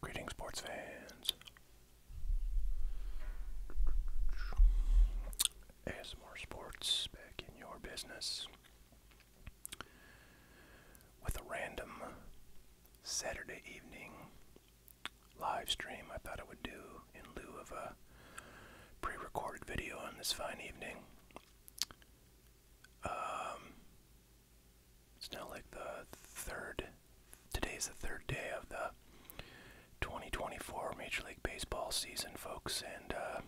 Greetings, sports fans. ASMR Sports back in your business with a random Saturday evening live stream I thought I would do in lieu of a pre recorded video on this fine evening. Um, it's now like the third, today's the third day of the 2024 Major League Baseball season, folks, and uh,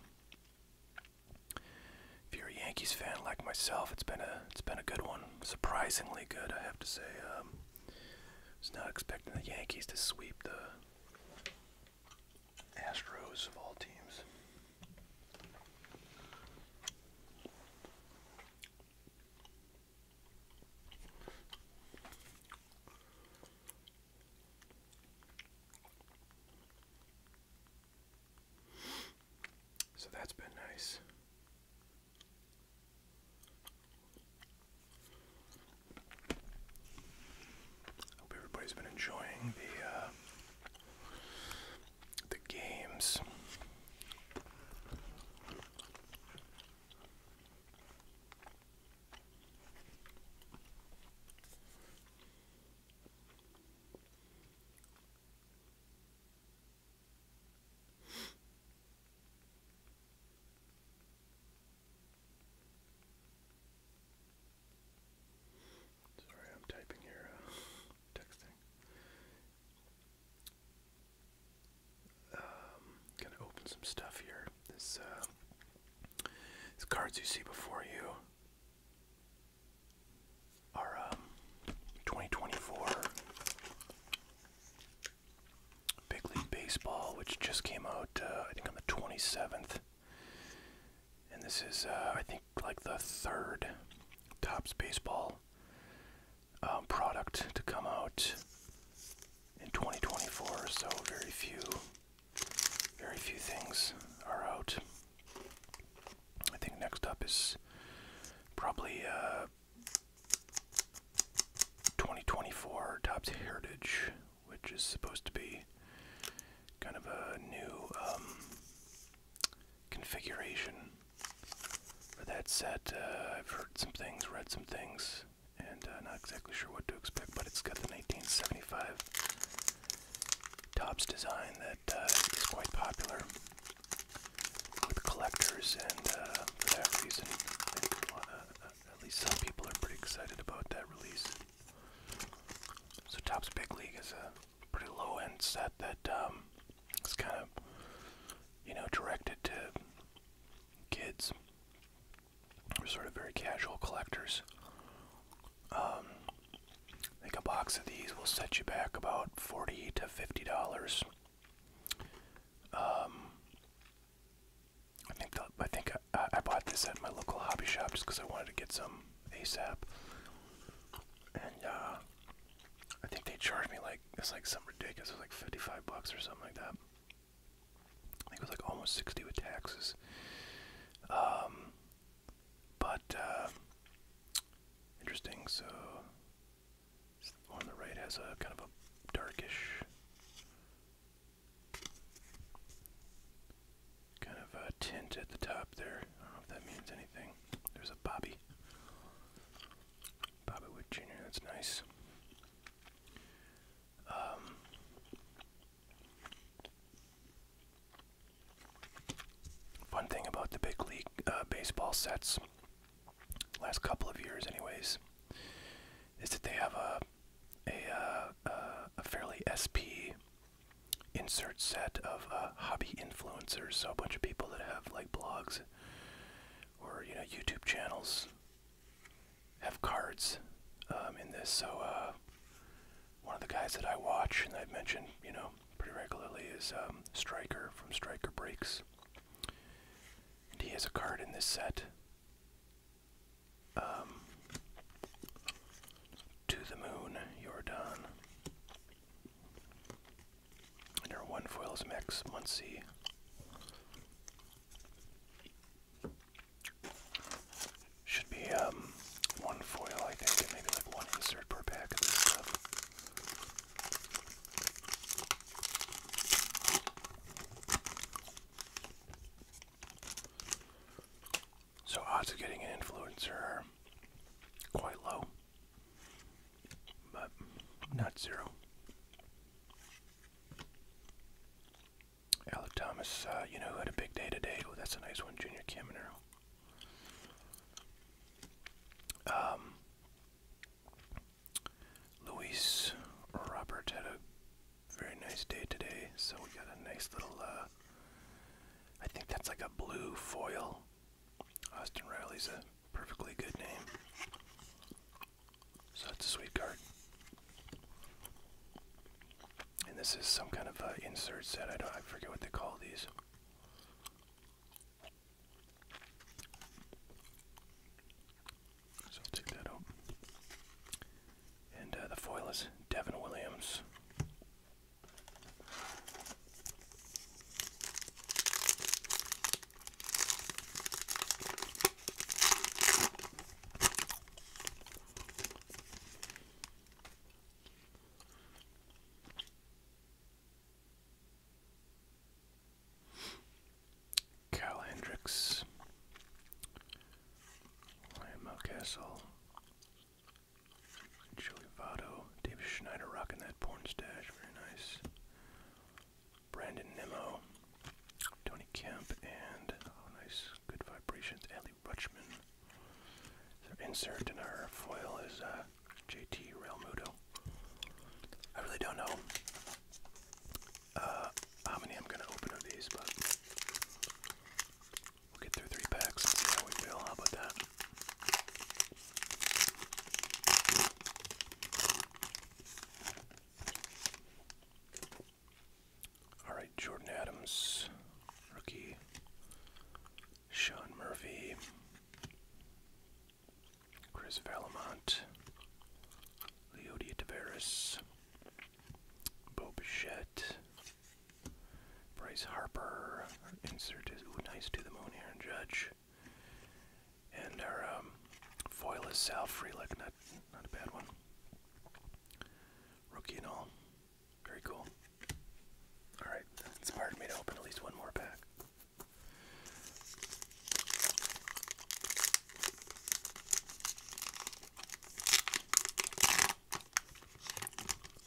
if you're a Yankees fan like myself, it's been a it's been a good one. Surprisingly good, I have to say. Um, was not expecting the Yankees to sweep the Astros of all teams. So that's been nice. hope everybody's been enjoying the uh, the games. Sorry, I'm typing here, uh, texting. Um, gonna open some stuff here. This, uh, these cards you see before you our um, 2024 Big League Baseball, which just came out, uh, I think, on the 27th. And this is, uh, I think, like the third Topps Baseball um, product to come out in 2024. So very few, very few things are out. I think next up is probably uh, 2024 Topps Heritage, which is supposed to be kind of a new um, configuration for that set. Uh, I've heard some things, read some things, and uh, not exactly sure what to expect, but it's got the 1975 Topps design that uh, it's quite popular with collectors, and uh, for that reason, uh, at least some people are pretty excited about that release. So, Topps Big League is a pretty low end set that um, is kind of, you know, directed to kids. or sort of very casual collectors. Um, I think a box of these will set you back about forty to fifty dollars. Um, I think I bought this at my local hobby shop just because I wanted to get some ASAP, and uh, I think they charged me like it's like some ridiculous, like fifty-five bucks or something like that. I think it was like almost sixty with taxes. Um, but uh, Interesting, so on the right has a kind of a darkish kind of a tint at the top there. I don't know if that means anything. There's a Bobby. Bobby Wood Jr., that's nice. Um, Fun thing about the big league uh, baseball sets, last couple of years, anyways, is that they have a a, uh, fairly SP insert set of uh, hobby influencers, so a bunch of people that have like blogs or you know YouTube channels have cards um, in this. So one of the guys that I watch and I've mentioned, you know, pretty regularly is um, Striker from Striker Breaks. And he has a card in this set. Um, to the moon, you're done. And one foil Max Muncie. Should be um, one foil, I think, and maybe like one insert per pack of this stuff. So odds of getting an influencer are quite low, but not zero. Alec Thomas, uh, you know who had a big day today? that's a nice one, Junior Kaminer. Um, Robert had a very nice day today, so we got a nice little. Uh, I think that's like a blue foil. Austin Riley's a perfectly good name. So that's a sweet card. And this is some kind of uh, insert set. I don't. I forget what they call these. So take that out. And uh, the foil is Devin Williams. Cal Hendricks, Ryan Mountcastle, Joey Votto, David Schneider rocking that porn stash, very nice. Brandon Nemo, Tony Kemp, and oh, nice, good vibrations. Charlie insert in our foil is uh, JT Realmuto. I really don't know uh, how many I'm going to open of these, but we'll get through three packs and see how we feel. How about that? All right, Jordan Adams, rookie. Sean Murphy, Chris Valamont, Leodia Tavares, Bob Bichette, Bryce Harper, insert his nice to the moon Aaron Judge, and our um, foil is Sal Freelick, not, not a bad one. Rookie and all. Very cool. Alright, that inspired me to open at least one more pack.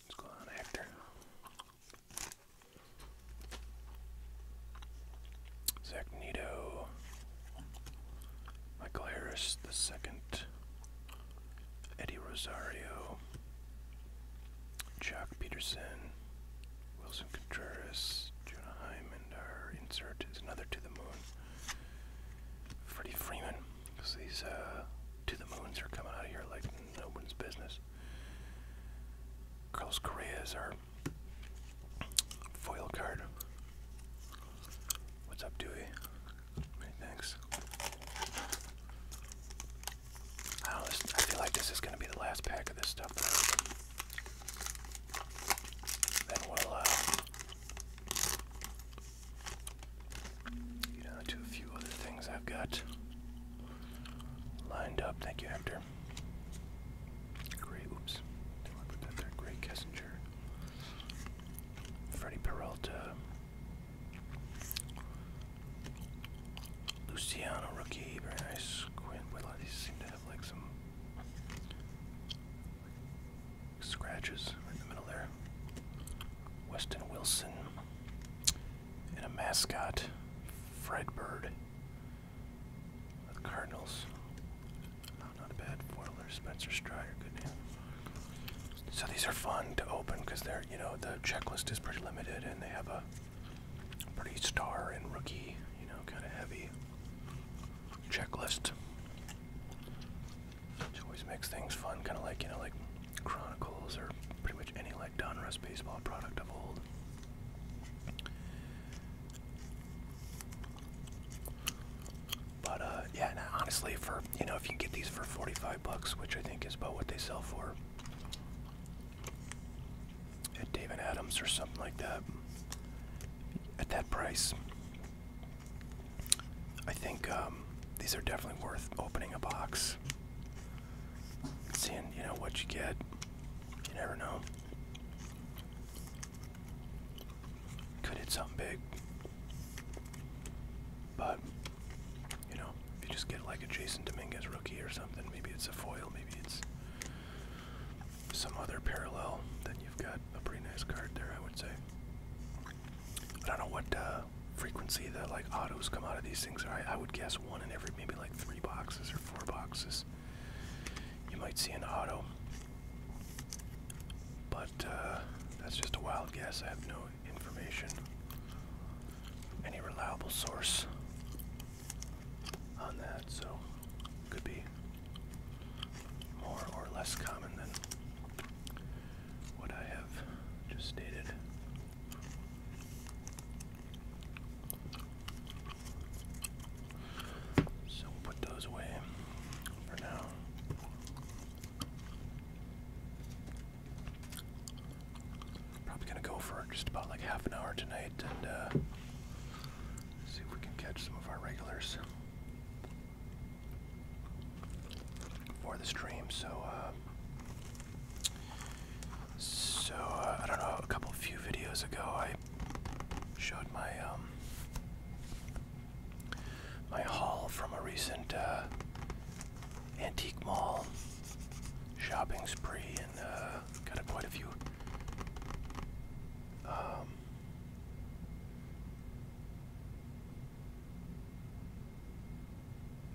What's going on, Hector? Zach Michael Harris the second, Eddie Rosario, Chuck Peterson, Wilson Contreras, Jonah Hyman, our insert is another To the Moon. Freddie Freeman, because these uh, To the Moons are coming out of here like no one's business. Carlos Correa is our foil card. What's up, Dewey? thanks. I, feel like this is going to be the last pack of this stuff. Then we'll uh, a few other things I've got lined up. Thank you, Hector. Great, oops. put that there. Great Kessinger. Freddie Peralta. Luciano rookie, very nice. Quinn Whitlock, these seem to have like some scratches in the middle there. Weston Wilson and a mascot, Fred Bird. The Cardinals. not a bad foil Spencer Strider, good name. So these are fun to open because they're, you know, the checklist is pretty limited and they have a pretty star and rookie, you know, kind of heavy checklist. Which always makes things fun, kind of like, you know, like Chronicles or pretty much any like Donruss baseball product of old. But uh, yeah, honestly, for you know if you get these for 45 bucks which i think is about what they sell for at David Adams or something like that at that price i think um, these are definitely worth opening a box seeing you know what you get you never know could hit something big but you know, if you just get like a Jason Dominguez rookie or something, maybe it's a foil, maybe it's some other parallel, then you've got a pretty nice card there, I would say. I don't know what uh, frequency that like autos come out of these things are. I, I would guess one in every maybe like three boxes or four boxes. You might see an auto, but uh, that's just a wild guess. I have no information, any reliable source on that, so could be more or less common than what I have just stated. So we'll put those away for now. Probably gonna go for just about like half an hour tonight and uh, see if we can catch some of our regulars for the stream. So, uh, so uh, I don't know. A couple few videos ago, I showed my um, my haul from a recent uh, antique mall shopping spree, and uh, got quite a few um,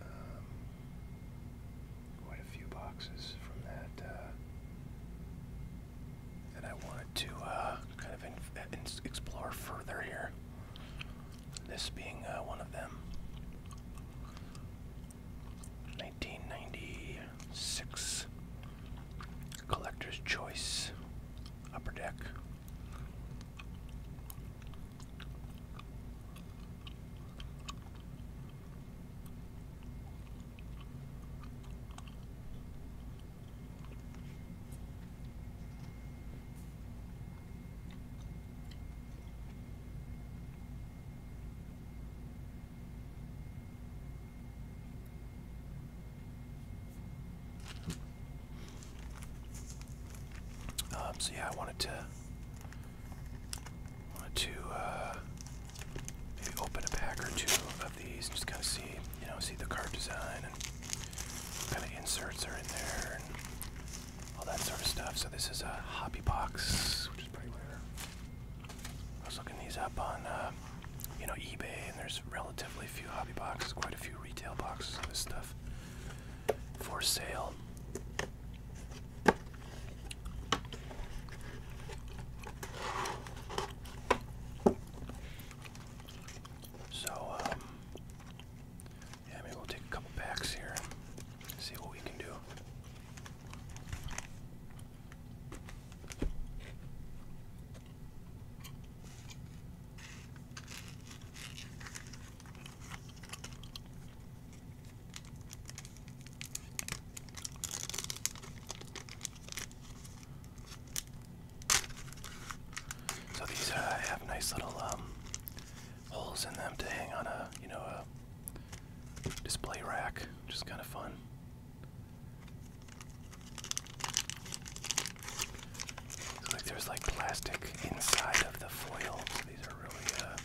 um, quite a few boxes from that. Uh, that I wanted to uh, kind of explore further here. This being uh, one of them. 1996 Collector's Choice Upper Deck. Um, so yeah, I wanted to wanted to uh, maybe open a pack or two of these, just kind of see, you know, see the card design Kind of inserts are in there all that sort of stuff. So this is a hobby box, which is pretty rare. I was looking these up on, uh, you know, eBay, and there's relatively few hobby boxes, quite a few retail boxes of this stuff for sale. So, um, yeah, maybe we'll take a couple packs here. See what we can do. So these uh, have nice little um, holes in them to hang on a, you know, a display rack, which is kind of fun. So, like there's like plastic inside of the foil. these are really uh,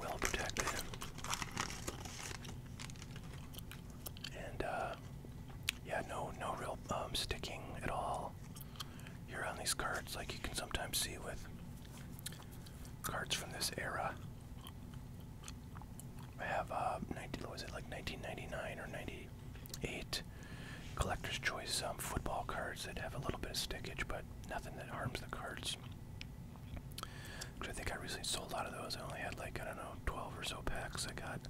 well protected. And uh, yeah, no, no real um, sticking at all symbol here on these cards, like you can sometimes see with cards from this era. I have uh, what was it like 1999 or 98 collector's choice um, football cards that have a little bit of stickage, but nothing that harms the cards. Which I think I recently sold a lot of those. I only had like I don't know 12 or so packs. I got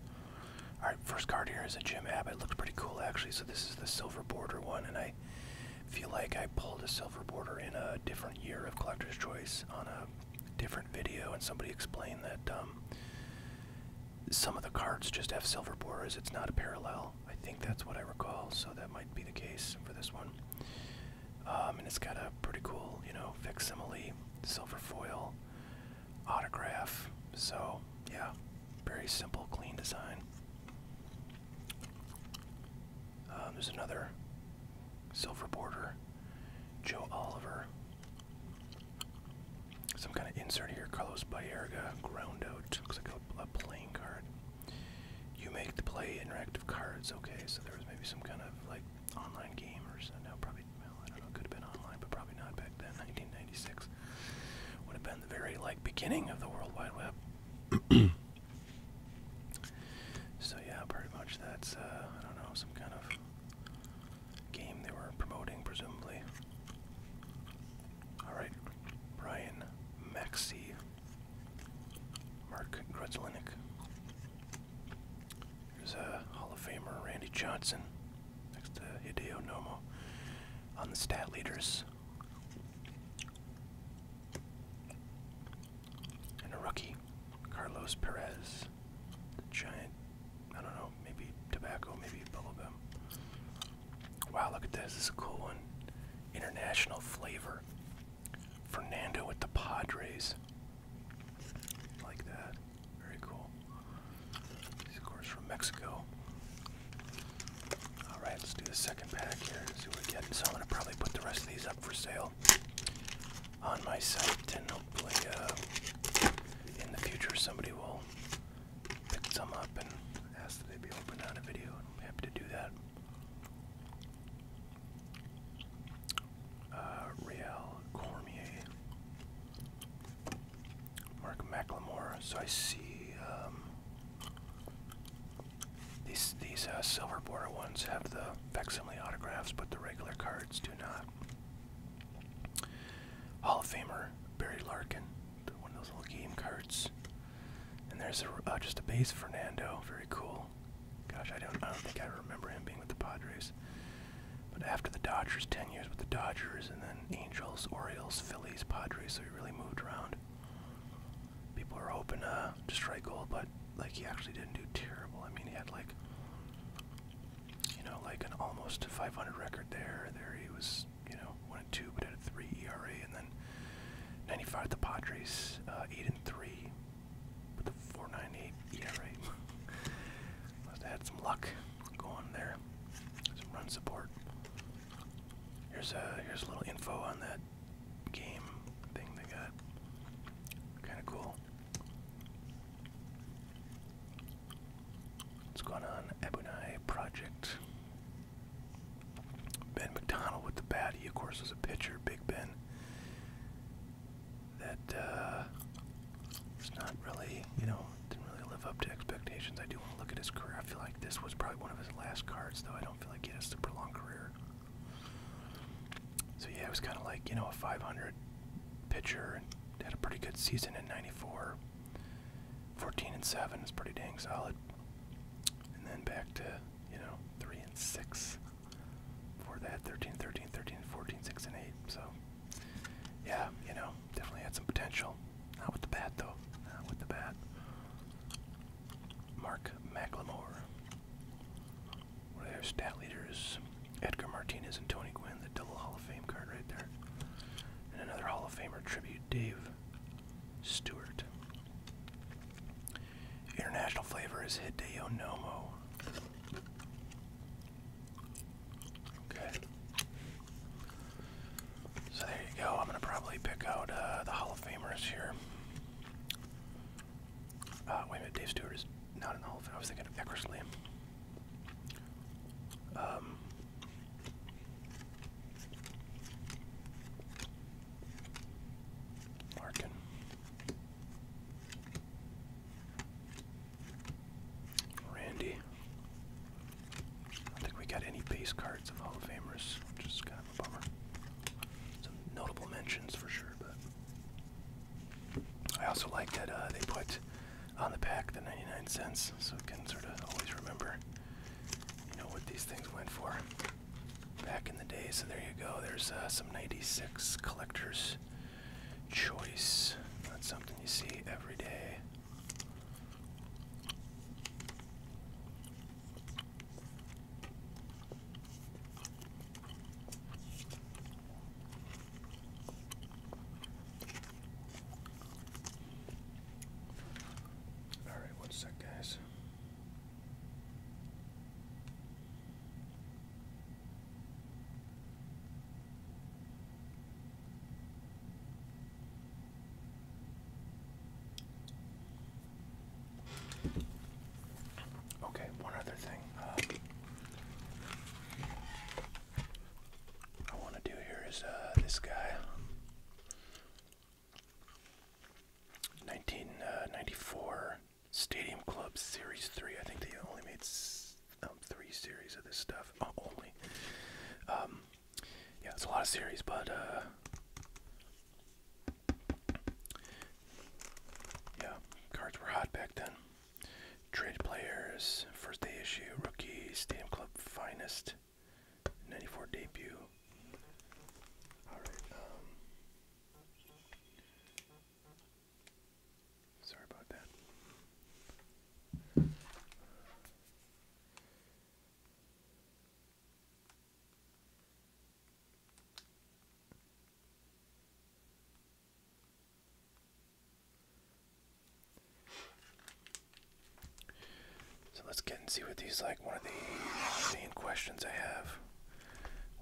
Alright, first card here is a Jim Abbott. Looks pretty cool actually. So this is the silver border one, and I feel like I pulled a silver border in a different year of Collector's Choice on a different video, and somebody explained that um, some of the cards just have silver borders. It's not a parallel. I think that's what I recall, so that might be the case for this one. Um, and it's got a pretty cool, you know, facsimile silver foil autograph. So, yeah, very simple, clean design. Um, there's another silver border, Joe Oliver. Some kind of insert here, Carlos Bayerga, ground out. Looks like a, playing card. You make the play interactive cards. Okay, so there was maybe some kind of like online game or something. No, probably well, I don't know, could have been online, but probably not back then. 1996 would have been the very like beginning of the World Wide Web. so yeah, pretty much that's uh, I don't know, some kind of game they were promoting, presumably. All right, Brian Maxey, Mark Grudzlinik. There's a Hall of Famer, Randy Johnson next to Hideo Nomo on the stat leaders. And a rookie, Carlos Perez, the giant, I don't know, maybe tobacco, maybe bubble Wow, look at this, this is a cool one. International flavor. Fernando with the Padres. Like that. Very cool. These, of course, from Mexico. All right, let's do the second pack here. See what we get. So I'm gonna probably put the rest of these up for sale on my site, and hopefully, uh, in the future, somebody will pick some up and ask that they be opened on a video. I'm happy to do that. Uh, Cormier. Mark McLemore. So I see um, these these uh, silver border ones have the facsimile autographs, but the regular cards do not. Hall of Famer Barry Larkin, one of those little game cards. And there's uh, just a base Fernando, very cool. Gosh, I don't, I don't think I remember him being with the Padres. But after the Dodgers, 10 years with the Dodgers, and then Angels, Orioles, Phillies, Padres, so he really moved around. People were hoping uh, to strike gold, but like he actually didn't do terrible. I mean, he had like, you know, like an almost 500 record there. There he was, you know, one and two, but had a three ERA, and then 95 at the Padres, uh, eight and three, with a 4.98 ERA. Must have had some luck going there. run support. Here's a uh, here's a little info on that game thing they got. Kind of cool. What's going on? Ebonai Project. Ben McDonald with the bat. He of course was a pitcher. Big Ben that uh, was not really, you know, didn't really live up to expectations. I do want to look at his career. I feel like this was probably one of his last cards, though. I don't feel like he had a super long career. So yeah, it was kind of like you know a 500 pitcher and had a pretty good season in '94. 14 and 7 is pretty dang solid. And then back to, you know, 3 and 6 for that 13, 13, 13, 14, 6 and 8. So, yeah, you know, definitely had some potential. Not with the bat, though. Not with the bat. Mark McLemore. One of their stat leaders, Edgar Martinez and Tony Gwynn, the double Hall of Fame card right there. And another Hall of Famer tribute, Dave Stewart. International flavor is Hideo Nomo. Okay. So there you go. I'm going to probably pick out uh, the Hall of Famers here. Uh, wait a minute. Dave Stewart is not in the I was thinking Eckersley. Um. Randy. I think we got any base cards of Hall of Famers, which kind of a bummer. notable mentions for sure, but I also like that uh, they put on the pack the 99 cents, so you can sort of always remember, you know, what these things went for back in the day. So there you go. There's uh, some 96 collectors choice. Not something you see every day. All right, what's that, guys? Okay, one other thing uh, I want to do here is uh, this guy. 1994 uh, Stadium Club Series 3. I think they only made um, three series of this stuff oh, only. Um, yeah, it's a lot of series, but uh, yeah, cards were hot back then. Trade players, first day issue, rookie, Stadium Club Finest, 94 debut. Alright, um, Sorry about that. So let's get and see what these like. One of the main questions I have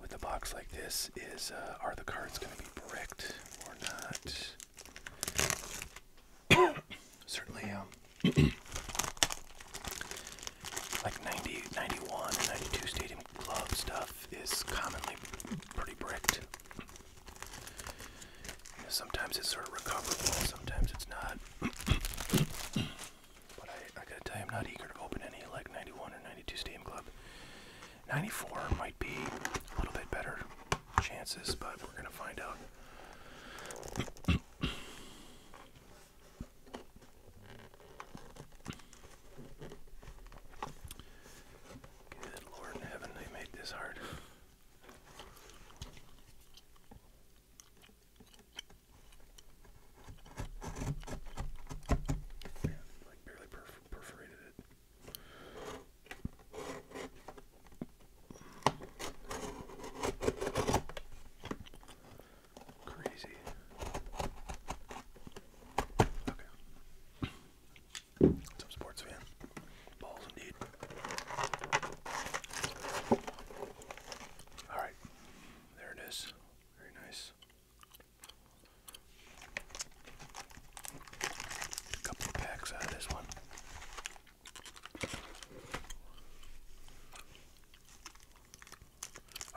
with a box like this is uh, are the cards going to be bricked or not? certainly um, like 90, 91 and 92 Stadium Club stuff is commonly pretty bricked. Sometimes it's sort of recoverable, sometimes it's not. but I, I gotta tell you, I'm not eager to open any like 91 or 92 Stadium Club 94 might be a little bit better chances, but we're going to find out. Good Lord in heaven, they made this hard. Yeah, like barely perforated it. Crazy. Okay. Some sports fan. Balls indeed. Alright. There it is. Very nice. A couple packs out of this one.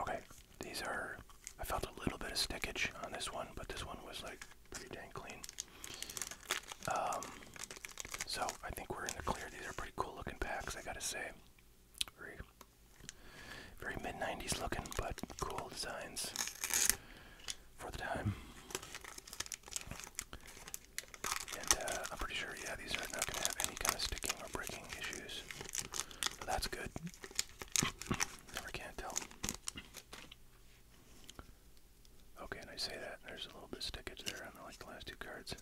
Okay, these are. I felt a little bit of stickage on this one, but this one was like pretty dang clean. Um, so I think we're in the clear. These are pretty cool looking packs, I gotta say. Very, very mid 90s looking, but cool designs for the time. And uh, I'm pretty sure, yeah, these are not going to have any kind of sticking or breaking issues. So that's good. Never can tell. Okay, and I say that, there's a little bit of stickage there, like the last two cards.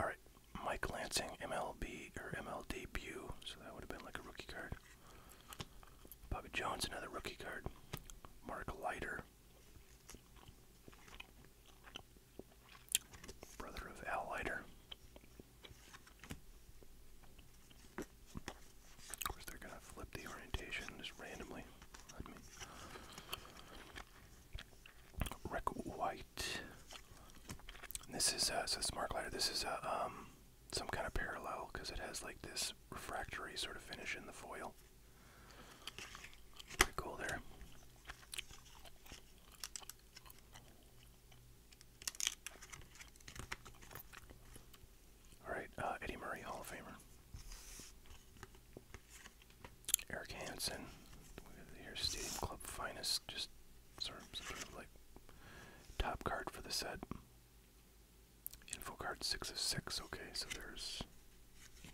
Alright, Mike Lansing, MLB, or MLB MLDebut, so that would have been like a rookie card. Bobby Jones, another rookie card. Mark Leiter. Brother of Al Leiter. Of course, they're going to flip the orientation just randomly. Rick White. this is, uh, so it's Mark Leiter. This is a, uh, um, some kind of parallel because it has like this refractory sort of finish in the foil. Pretty cool there. All right, uh, Eddie Murray, Hall of Famer. Eric Hansen, here's Stadium Club Finest, just sort of, like top card for the set. Info card six of six. Okay, so there's I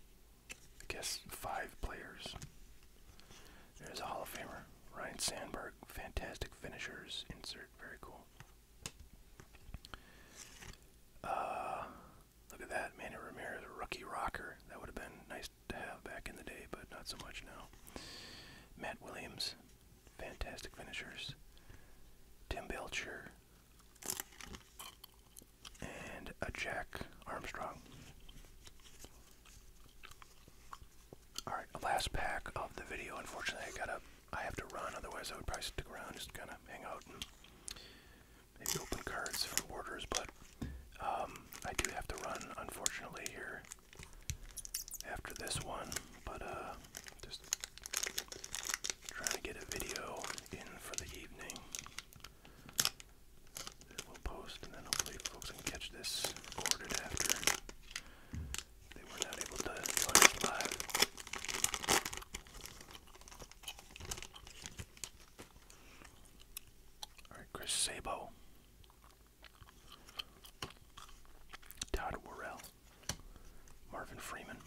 guess five players. There's a Hall of Famer, Ryan Sandberg. Fantastic finishers. Insert. Very cool. Uh, look at that, Manny Ramirez, a rookie rocker. That would have been nice to have back in the day, but not so much now. Matt Williams, fantastic finishers. Tim Belcher and a Jack Armstrong. All right, last pack of the video. Unfortunately, I gotta, I have to run. Otherwise, I would probably stick around, just kind of hang out and maybe open cards from orders. But um, I do have to run, unfortunately, here after this one, but uh, just trying to get a video in for the evening we'll post, and then hopefully folks can catch this recorded after they were not able to join us live. All right, Chris Sabo. Todd Worrell, Marvin Freeman.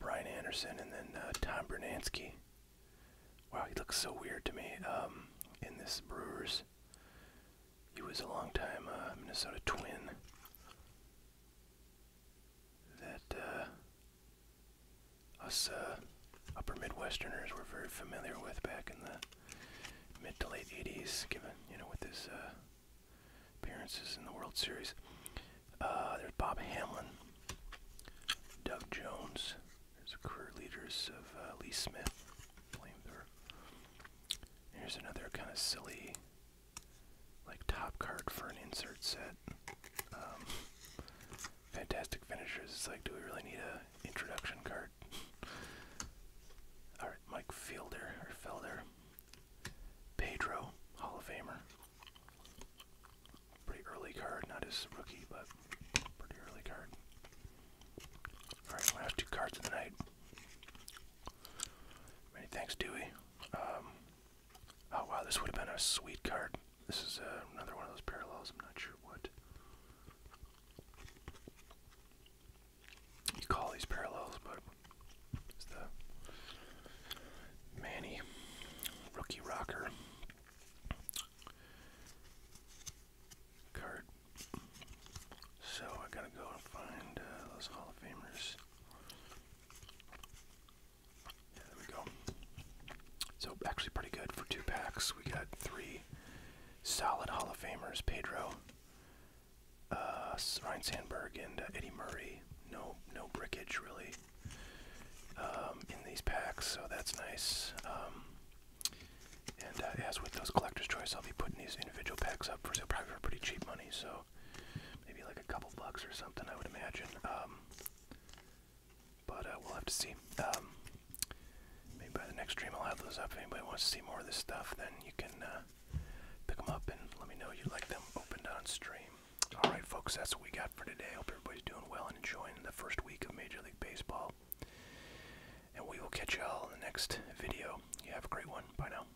Brian Anderson and then uh, Tom Bernansky. Wow, he looks so weird to me um, in this Brewers. He was a long time uh, Minnesota twin that uh, us uh, upper Midwesterners were very familiar with back in the mid to late 80s, given, you know, with his uh, appearances in the World Series. Uh, there's Bob Hamlin, Doug Jones, there's career leaders of Lee Smith, Flamethrower. Here's another kind of silly, like top card for an insert set. Um, fantastic finishers. It's like, do we really need an introduction card? All right, Mike Fielder or Felder, Pedro, Hall of Famer. Pretty early card, not his rookie, but pretty early card. All right, last two cards of the night. Many thanks, Dewey. Um, Oh wow, this would have been a sweet card. This is uh, another one of those parallels. I'm not sure what you call these parallels, but it's the Manny rookie rocker card. So I gotta go find uh, those Hall of Famers there we go. So actually pretty good for two packs. We got three solid Hall of Famers: Pedro, uh, Ryan Sandberg, and uh, Eddie Murray. No, no brickage really um, in these packs, so that's nice. Um, and uh, as with those collector's choice, I'll be putting these individual packs up for sale, probably for pretty cheap money. So maybe like a couple bucks or something, I would imagine. Um, but uh, we'll have to see. Um, maybe by the next stream I'll have those up. If anybody wants to see more of this stuff, then you can uh, pick them up and let me know you like them opened on stream. Alright, folks, that's what we got for today. Hope everybody's doing well and enjoying the first week of Major League Baseball. And we will catch you all in the next video. You have a great one. Bye now.